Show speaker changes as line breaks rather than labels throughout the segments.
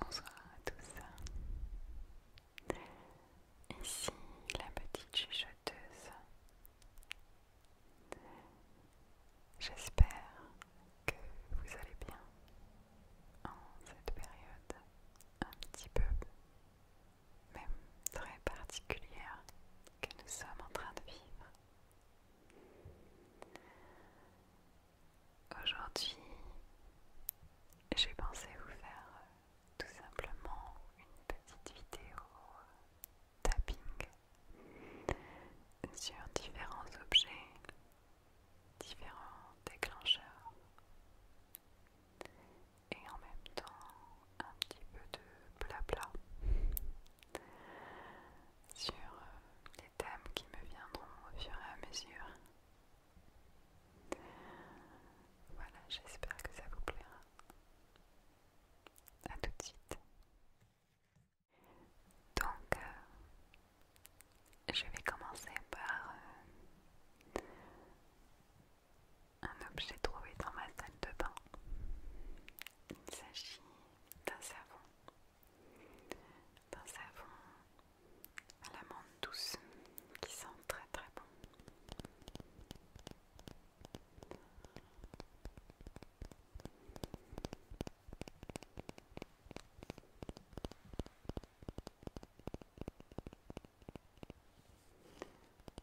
Bonsoir à tous. Ici la petite chuchoteuse. J'espère que vous allez bien en cette période un petit peu même très particulière que nous sommes en train de vivre. Aujourd'hui, j'ai pensé vous faire tout simplement une petite vidéo tapping sur différents objets, différents déclencheurs et en même temps un petit peu de blabla sur euh, les thèmes qui me viendront au fur et à mesure. Voilà, j'espère que ça vous plaira. A tout de suite. Donc, euh, je vais commencer par euh, un objet trouvé dans ma salle de bain. Il s'agit d'un savon, d'un savon à la menthe douce qui sent très très bon.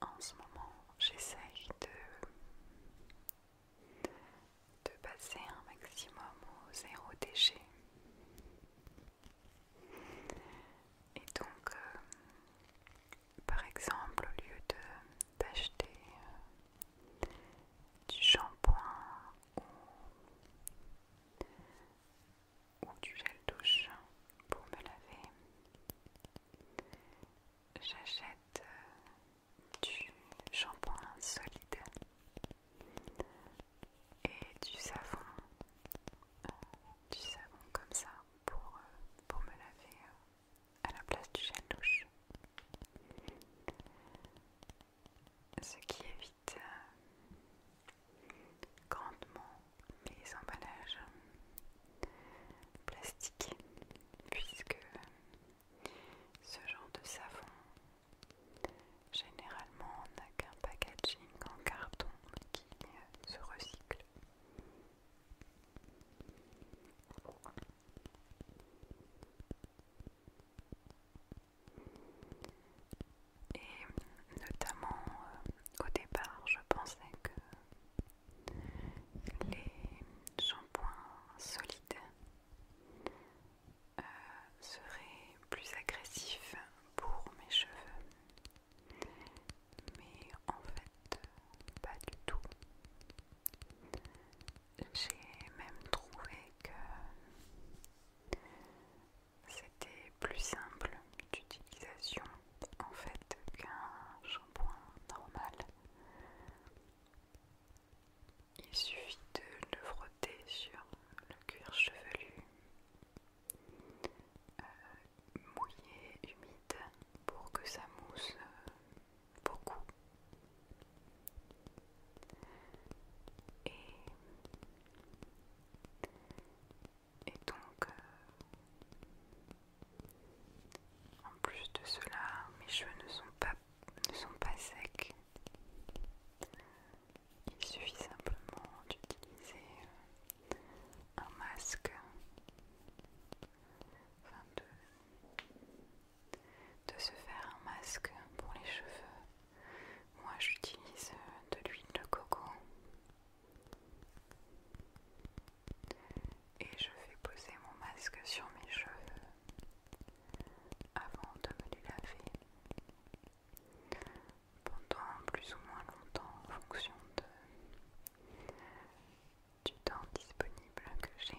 en ce moment, j'essaye de, de passer un maximum au zéro déchet. Et donc, euh, par exemple, au lieu d'acheter euh, du shampoing ou du gel douche pour me laver. J'achète euh, du shampoing solide et du savon, euh, du savon comme ça pour, euh, pour me laver à la place du gel douche. Ce qui évite grandement les emballages plastiques puisque ce genre de savon généralement n'a qu'un packaging en carton qui se recycle. Et notamment euh, au départ, je pensais que les shampoings solides euh, seraient plus agressifs pour mes cheveux, mais en fait, pas du tout. J'ai même trouvé que c'était plus simple d'utilisation en fait qu'un shampoing normal. Il suffit de le frotter sur le cuir chevelu euh, mouillé, humide pour que ça mousse euh, beaucoup. Et et donc, euh, en plus de cela, mes cheveux ne sont pas, secs. Il suffit simplement d'utiliser euh, un masque, enfin de se faire un masque pour les cheveux. Moi j'utilise euh, de l'huile de coco et je fais poser mon masque sur mes cheveux avant de me laver pendant plus ou moins longtemps en fonction de, du temps disponible que j'ai.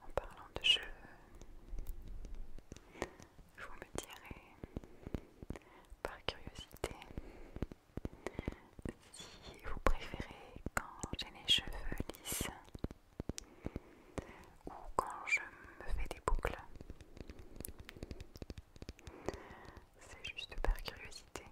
En parlant de cheveux, vous me direz par curiosité si vous préférez quand j'ai les cheveux lisses ou quand je me fais des boucles. C'est juste par curiosité.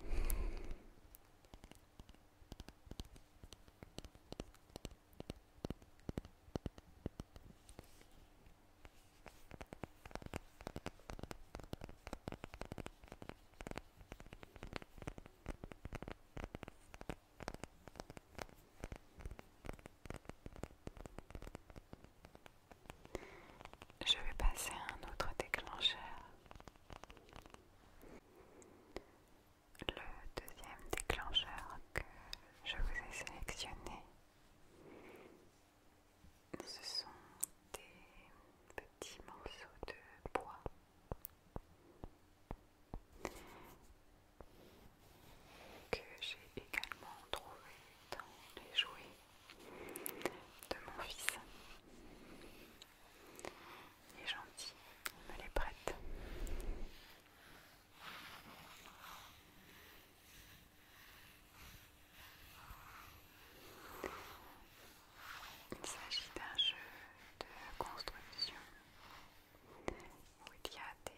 Je vais passer à un autre déclencheur. Le deuxième déclencheur que je vous ai sélectionné, ce sont des petits morceaux de bois. Que j'ai également trouvé dans les jouets de mon fils. Il est gentil, il me les prête. Il s'agit d'un jeu de construction où il y a des,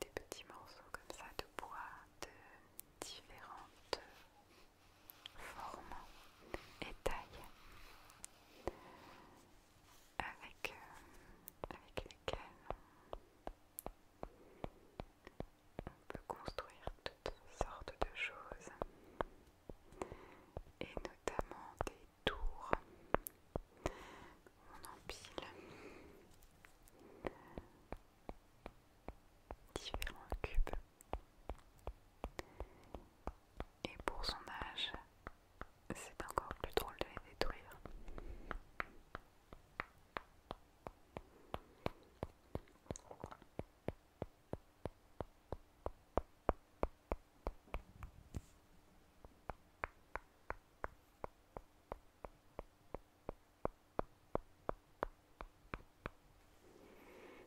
des petits morceaux comme ça de bois de différentes forme et taille euh, avec, lesquelles on peut construire toutes sortes de choses et notamment des tours on empile différents cubes et pour son âge, c'est encore plus drôle de les détruire.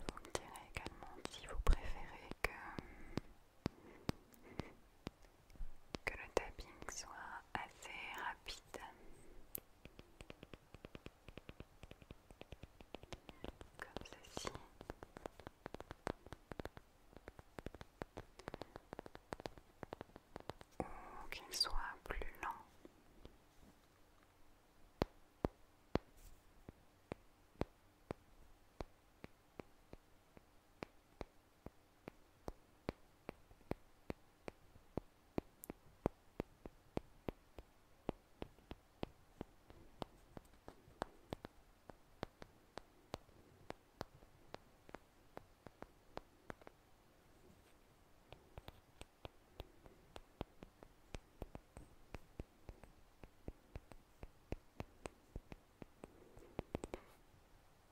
Vous me direz également si vous préférez que, que le tapping soit assez rapide, comme ceci ou qu'il soit plus lent.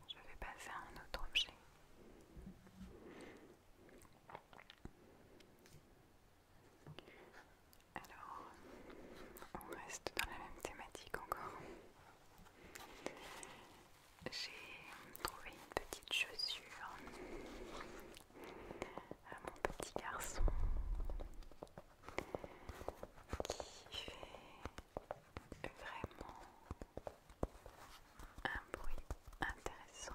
Je vais passer à un autre objet. Alors, on reste dans la même thématique encore. J'ai trouvé une petite chaussure à mon petit garçon qui fait vraiment un bruit intéressant.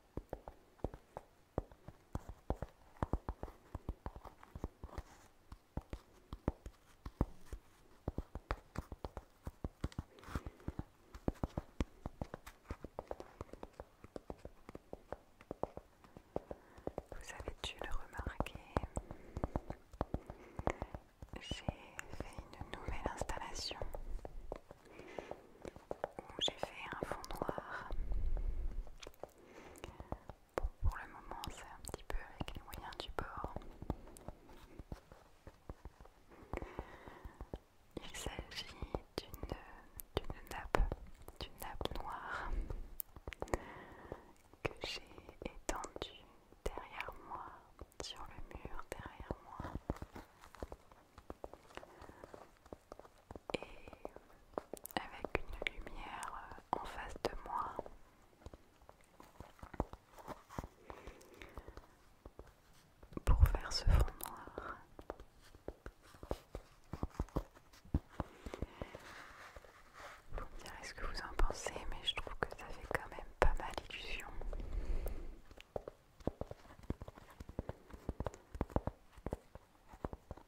Vous avez dû le remarquer, j'ai fait une nouvelle installation où j'ai fait un fond noir pour le moment, c'est un petit peu avec les moyens du bord. Il s'agit d'une nappe, d'une nappe noire que j'ai étendue derrière moi, sur le mur derrière moi et avec une lumière euh, en face de moi. Pour faire ce fond noir, vous me direz ce que vous en pensez, mais je trouve que ça fait quand même pas mal illusion.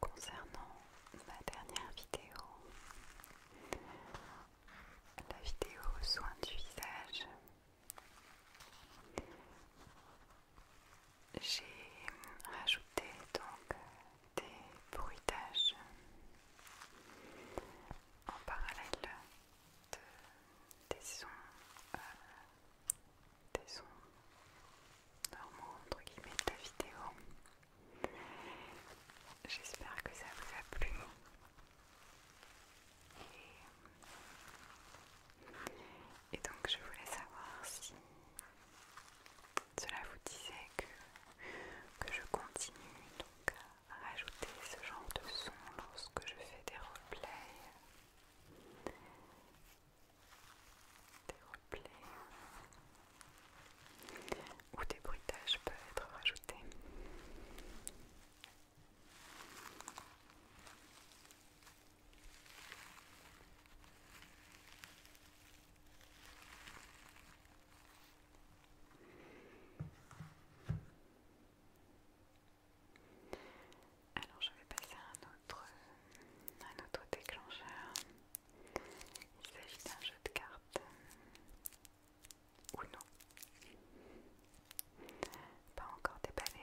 Concernant ma dernière vidéo, la vidéo soins du visage, j'ai rajouté donc euh, des bruitages en parallèle des sons euh, des sons normaux entre guillemets de la vidéo. J'espère que ça vous a plu. Et donc je voulais savoir si cela vous disait que, que je continue donc à rajouter ce genre de son lorsque je fais des replays. Des replays ou des bruitages peuvent être rajoutés. Alors je vais passer à un autre, déclencheur. Il s'agit d'un jeu de cartes. Ou non. Pas encore déballé.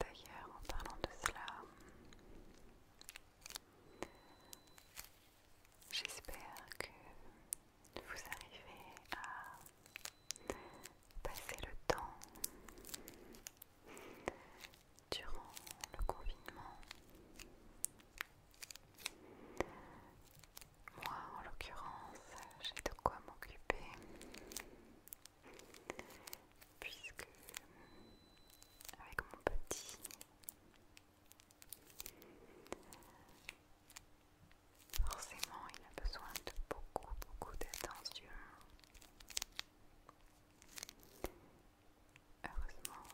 D'ailleurs, en parlant de cela, j'espère que vous arrivez à passer le temps durant le confinement moi, en l'occurrence, j'ai de quoi m'occuper puisque avec mon petit forcément il a besoin de beaucoup beaucoup d'attention heureusement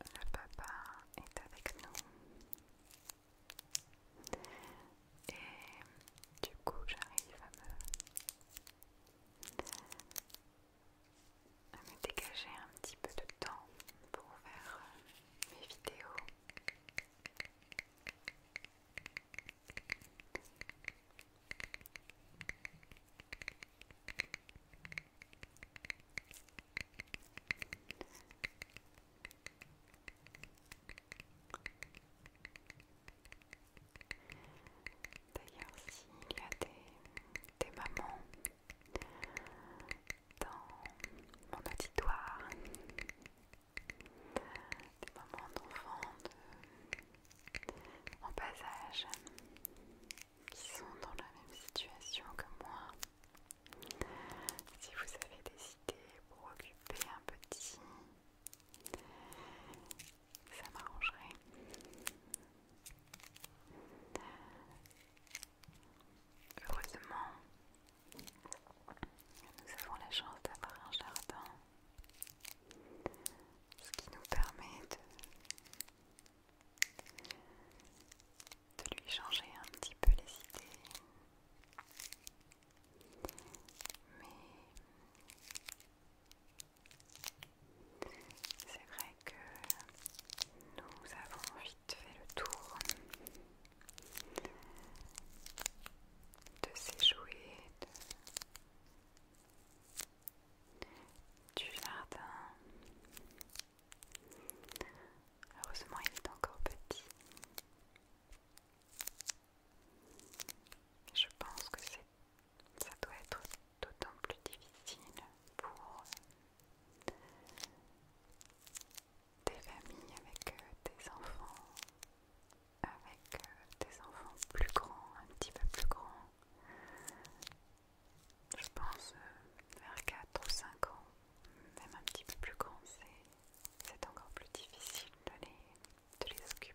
le papa est avec nous et du coup, j'arrive à me, dégager un petit peu de temps pour faire euh, mes vidéos. D'ailleurs, s'il y a des, mamans dans mon auditoire, des mamans d'enfants de, en bas âge qui sont dans la même situation que moi, si vous avez des idées pour occuper un petit, ça m'arrangerait. Heureusement, nous avons la chance d'avoir un jardin, ce qui nous permet de de lui changer un petit peu les idées. Mais c'est vrai que nous avons vite fait le tour de ces jouets du jardin Heureusement, il est encore petit. Je pense que ça doit être d'autant plus difficile pour des familles avec euh, des enfants, avec euh, des enfants plus grands, un petit peu plus grands. Je pense euh, vers 4 ou 5 ans même un petit peu plus grand, c'est encore plus difficile de les, occuper.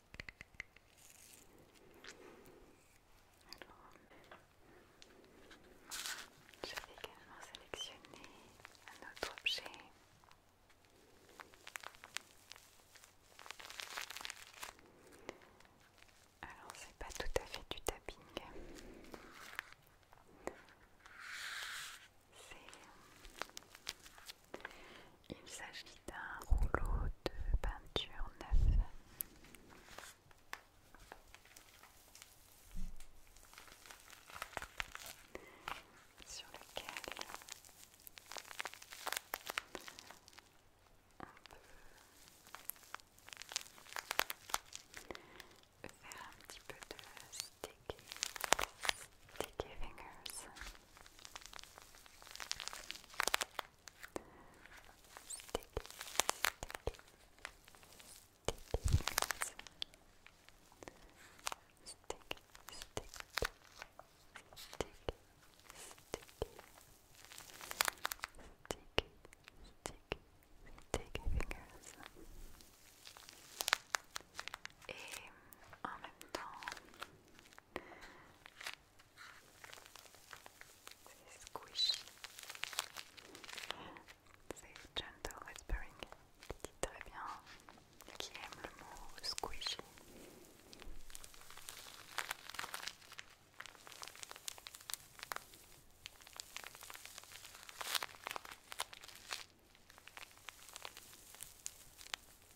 Alors, je vais également sélectionner un autre objet. Alors, c'est pas tout à fait du tapping. C'est il s'agit d'un rouleau de peinture neuf Sur lequel on peut faire un petit peu de sticker. sticky fingers sticky fingers et en même temps Say squish. gentle whispering qui dit très bien, qui aime le squishy.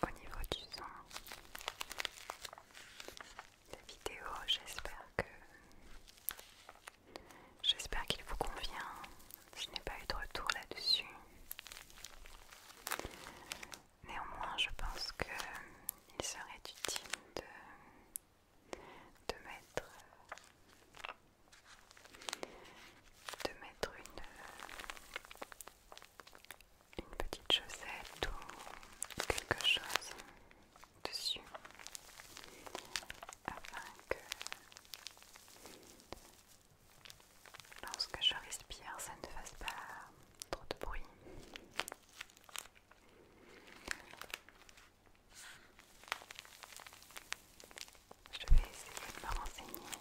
Au niveau du son, la vidéo, j'espère que j'espère qu'il vous convient. Je n'ai pas eu de retour là-dessus. Néanmoins, je pense qu'il serait utile de de mettre, de mettre une, une petite chaussette ou quelque chose dessus afin que lorsque je respire ça ne fasse pas trop de bruit. Je vais essayer de me renseigner.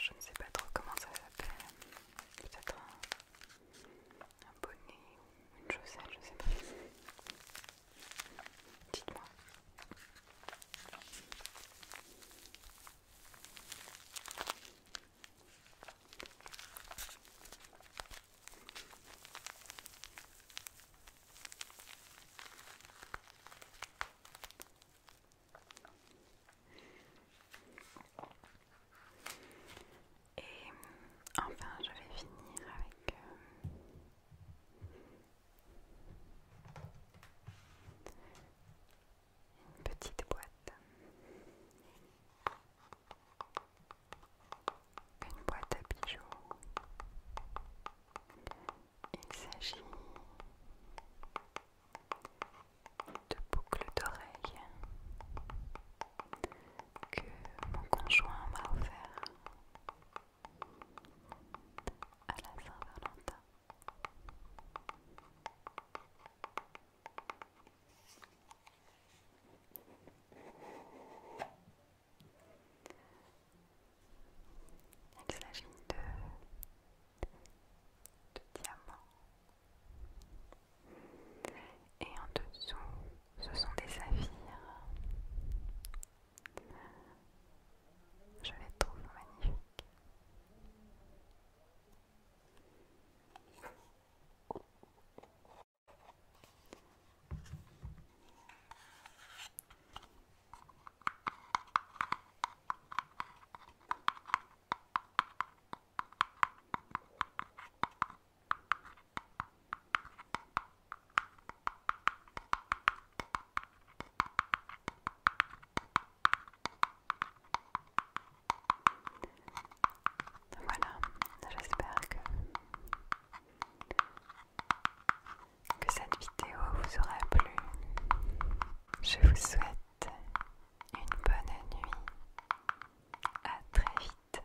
Je ne sais pas trop comment ça s'appelle. Peut-être un, un bonnet ou une chaussette, je ne sais pas. Dites-moi. Et euh, enfin, je vais finir avec euh, une petite boîte. Une boîte à bijoux. Il s'agit de boucles d'oreilles que mon conjoint m'a offert à la Saint-Valentin. Il s'agit de, de diamants et en dessous ce sont des saphirs je les trouve magnifiques. Voilà, j'espère que, que cette vidéo vous aura plu. Je vous souhaite une bonne nuit. À très vite.